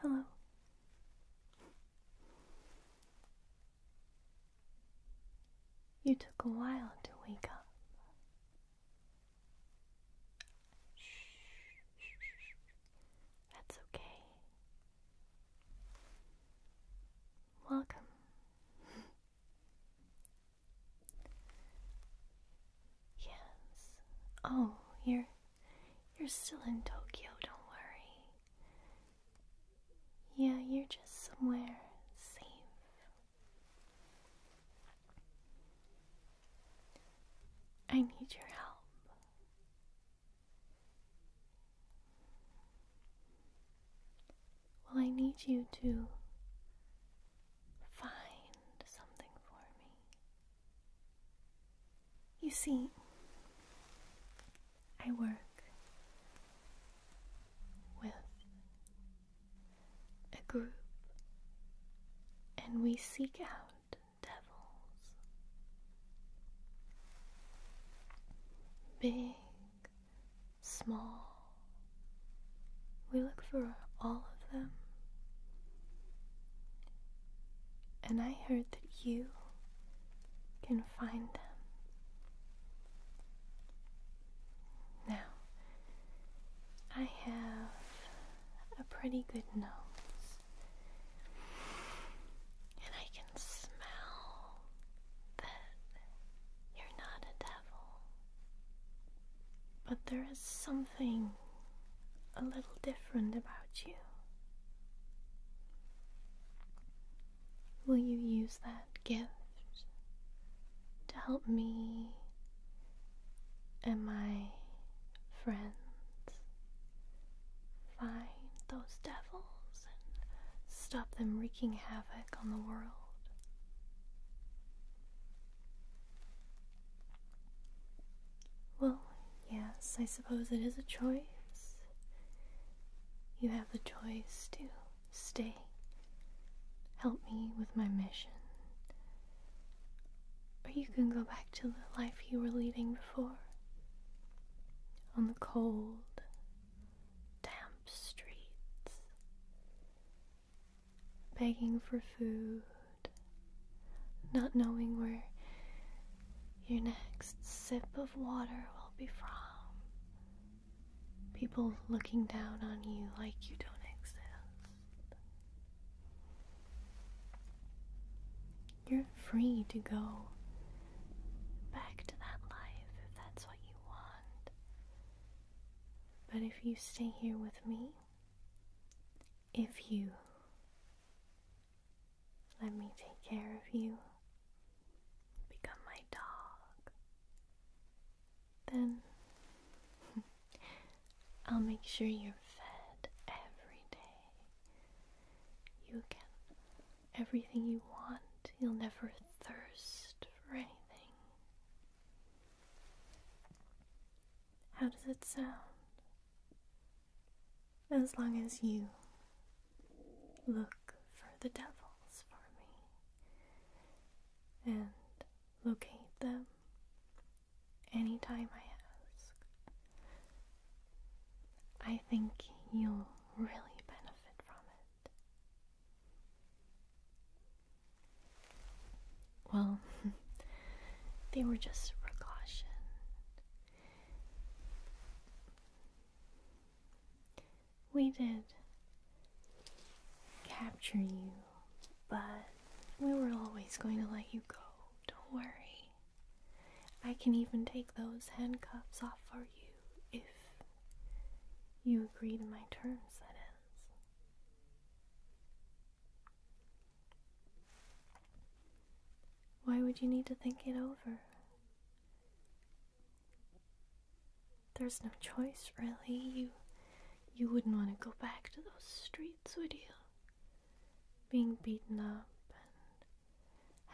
Hello. You took a while to wake up. That's okay. Welcome. Yes. Oh, you're you're still in Tokyo, don't worry. Yeah, you're just somewhere safe. I need your help. Well, I need you to find something for me. You see, I work with a group and we seek out devils. Big small. We look for all of them. And I heard that you can find them. Now, I have a pretty good nose, and I can smell that you're not a devil. But there is something a little different about you. Will you use that gift to help me and my friends find those devils? stop them wreaking havoc on the world. Well, yes, I suppose it is a choice. You have the choice to stay, help me with my mission, or you can go back to the life you were leading before. On the cold, damp streets, begging for food, not knowing where your next sip of water will be from, people looking down on you like you don't exist. You're free to go back to that life if that's what you want. But if you stay here with me, if you let me take care of you, become my dog, then I'll make sure you're fed every day. You can everything you want. You'll never thirst for anything. How does it sound? As long as you look for the devils for me and locate them any time I ask, I think you'll really benefit from it. Well, they were just precaution. We did capture you, but we were always going to let you go. Don't worry. I can even take those handcuffs off for you if you agree to my terms, that is. Why would you need to think it over? There's no choice, really. You you wouldn't want to go back to those streets, would you? Being beaten up and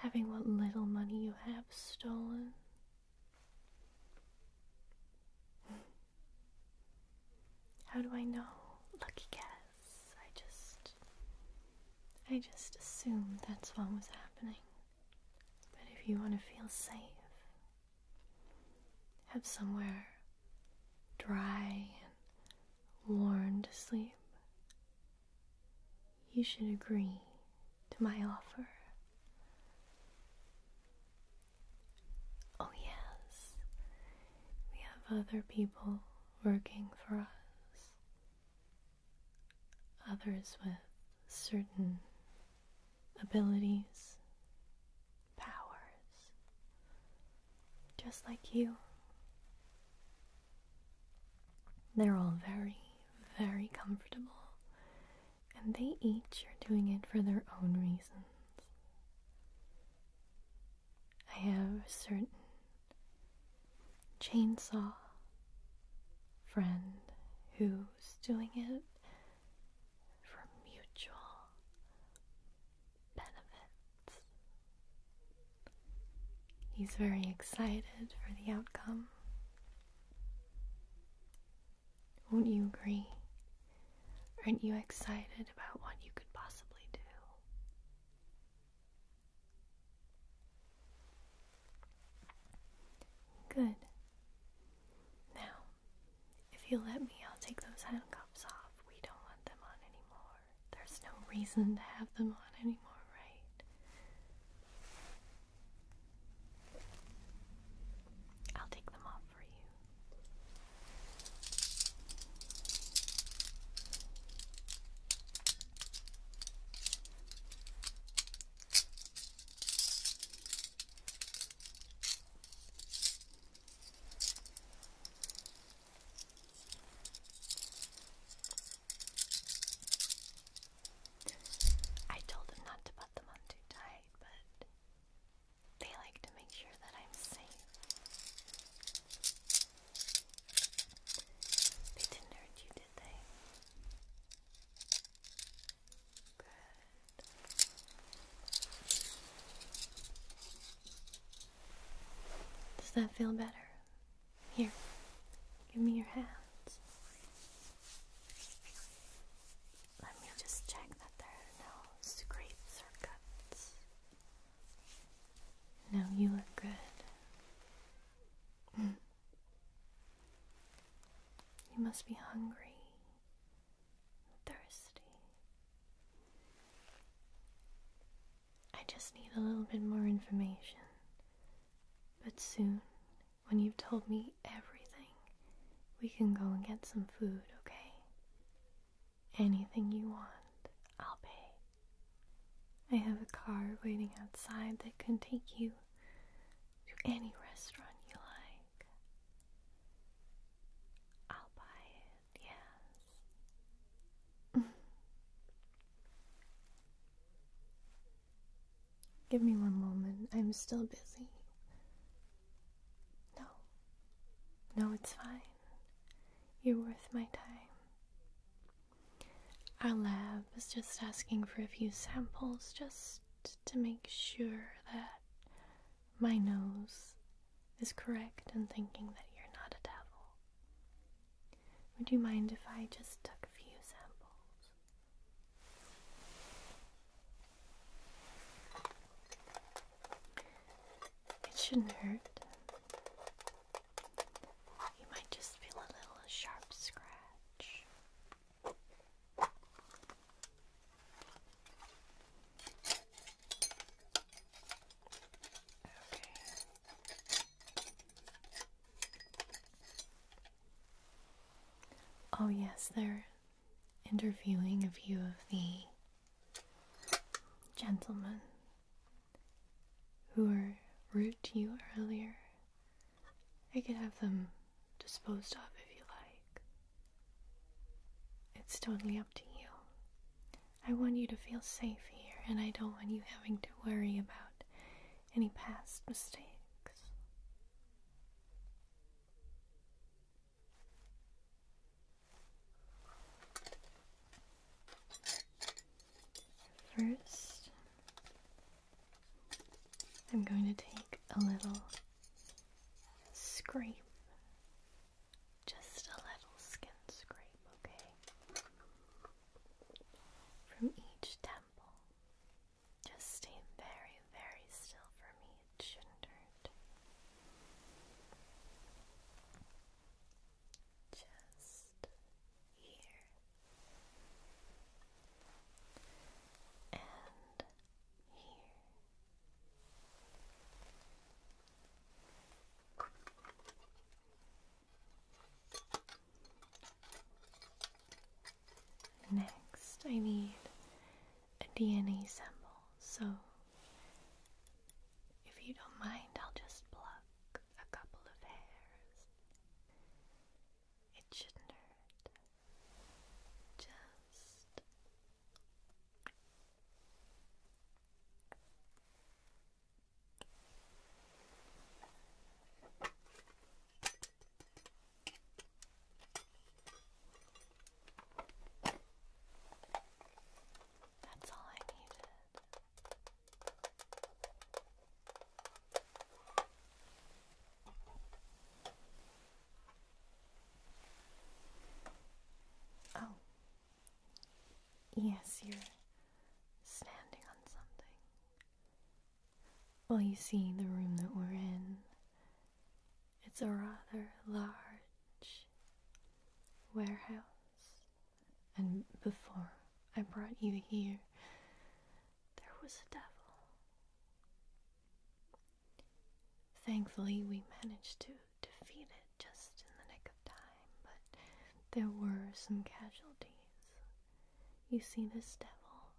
having what little money you have stolen. How do I know? Lucky guess. I just. I just assumed that's what was happening. But if you want to feel safe, have somewhere dry and warm to sleep you should agree to my offer. Oh, yes, we have other people working for us, others with certain abilities, powers, just like you. They're all very, very comfortable, and they each are doing it for their own reasons. I have a certain chainsaw friend who's doing it for mutual benefits. He's very excited for the outcome. Won't you agree? Aren't you excited about what you could possibly do? Good. Now, if you let me, I'll take those handcuffs off. We don't want them on anymore. There's no reason to have them on anymore, right? I'll take them off for you. I told them not to put them on too tight, but they like to make sure that I'm safe. They didn't hurt you, did they? Does that feel better? Here, give me your hands. Let me just check that there are no scrapes or cuts. No, you look good. You must be hungry, thirsty. I just need a little bit more information. But soon, when you've told me everything, we can go and get some food, okay? Anything you want, I'll pay. I have a car waiting outside that can take you to any restaurant you like. I'll buy it, yes. Give me one moment. I'm still busy. No. No, it's fine. You're worth my time. Our lab is just asking for a few samples just to make sure that my nose is correct in thinking that you're not a devil. Would you mind if I just took a few samples? It shouldn't hurt. You might just feel a little sharp scratch. Okay. Oh, yes, they're interviewing a few of the gentlemen who were rude to you earlier. I could have them disposed of if you like. It's totally up to you. I want you to feel safe here, and I don't want you having to worry about any past mistakes. First, I'm going to take a little scrape, just a little skin scrape, okay? from each temple. Just stay very, very still for me. It shouldn't hurt. Just here and here. Next, I need a DNA sample, so if you don't mind, I'll just pluck a couple of hairs. It shouldn't hurt. Just. That's all I needed. Oh, yes, you're standing on something. Well, you see, the room that we're in, it's a rather large warehouse. And before I brought you here, there was a devil. Thankfully, we managed to defeat it just in the nick of time, but there were some casualties. You see this devil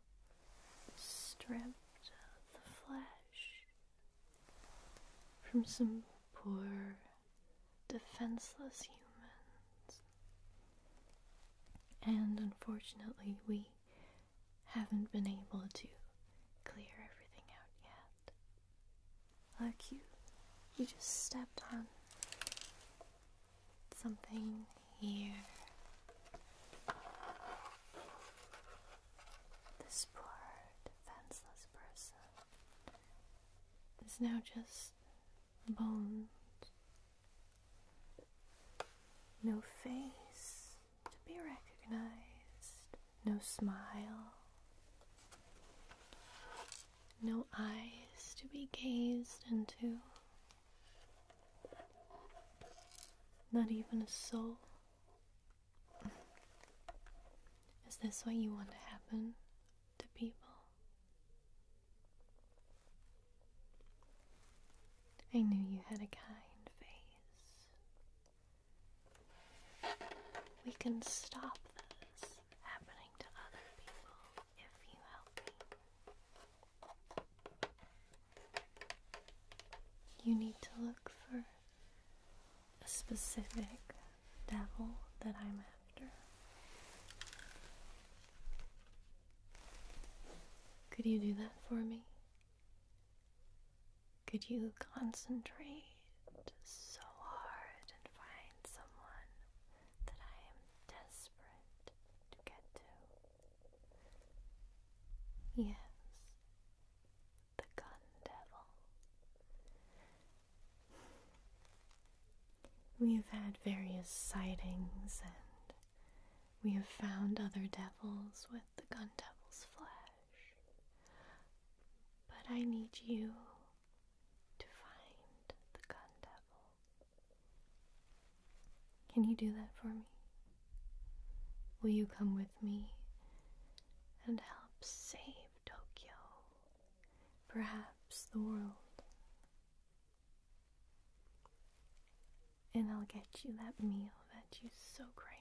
stripped of the flesh from some poor, defenseless humans. And unfortunately, we haven't been able to clear everything out yet. Like you, you just stepped on something here. This poor defenseless person is now just bones. No face to be recognized, no smile no eyes to be gazed into, not even a soul. Is this what you want to happen to people? I knew you had a kind face. We can stop this happening to other people if you help me. You need to look for a specific devil that I'm after. Could you do that for me? Could you concentrate so hard and find someone that I am desperate to get to. Yes, the gun devil. We have had various sightings and we have found other devils with the gun devil's flesh. But I need you to find the gun devil. Can you do that for me? Will you come with me and help save Tokyo? Perhaps the world. And I'll get you that meal that you so crave.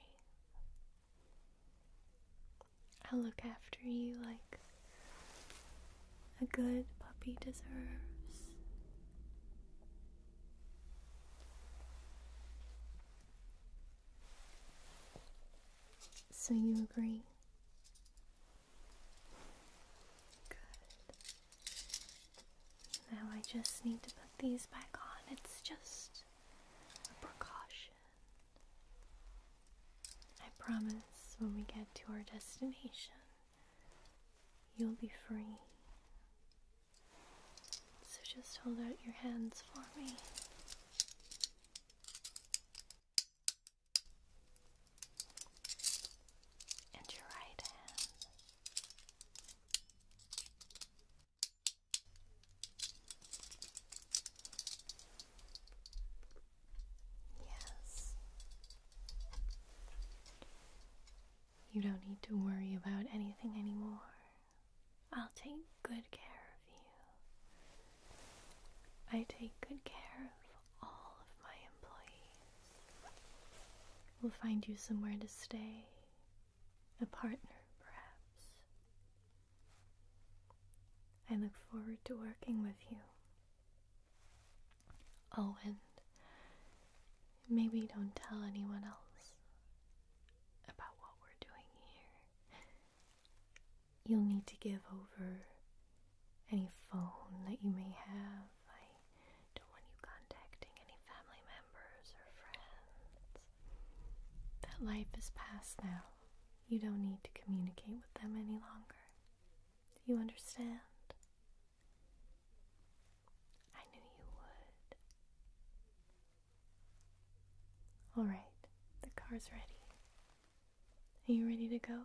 I'll look after you like a good puppy deserves. So you agree? Good. Now I just need to put these back on. It's just a precaution. I promise when we get to our destination, you'll be free. So just hold out your hands for me. And your right hand. Yes. You don't need to worry about anything anymore. I'll take good care of you. I take good care of all of my employees. We'll find you somewhere to stay, a partner perhaps. I look forward to working with you. Oh, and maybe don't tell anyone else about what we're doing here. You'll need to give over any phone that you may have. I don't want you contacting any family members or friends. That life is past now. You don't need to communicate with them any longer. You understand? I knew you would. Alright, the car's ready. Are you ready to go?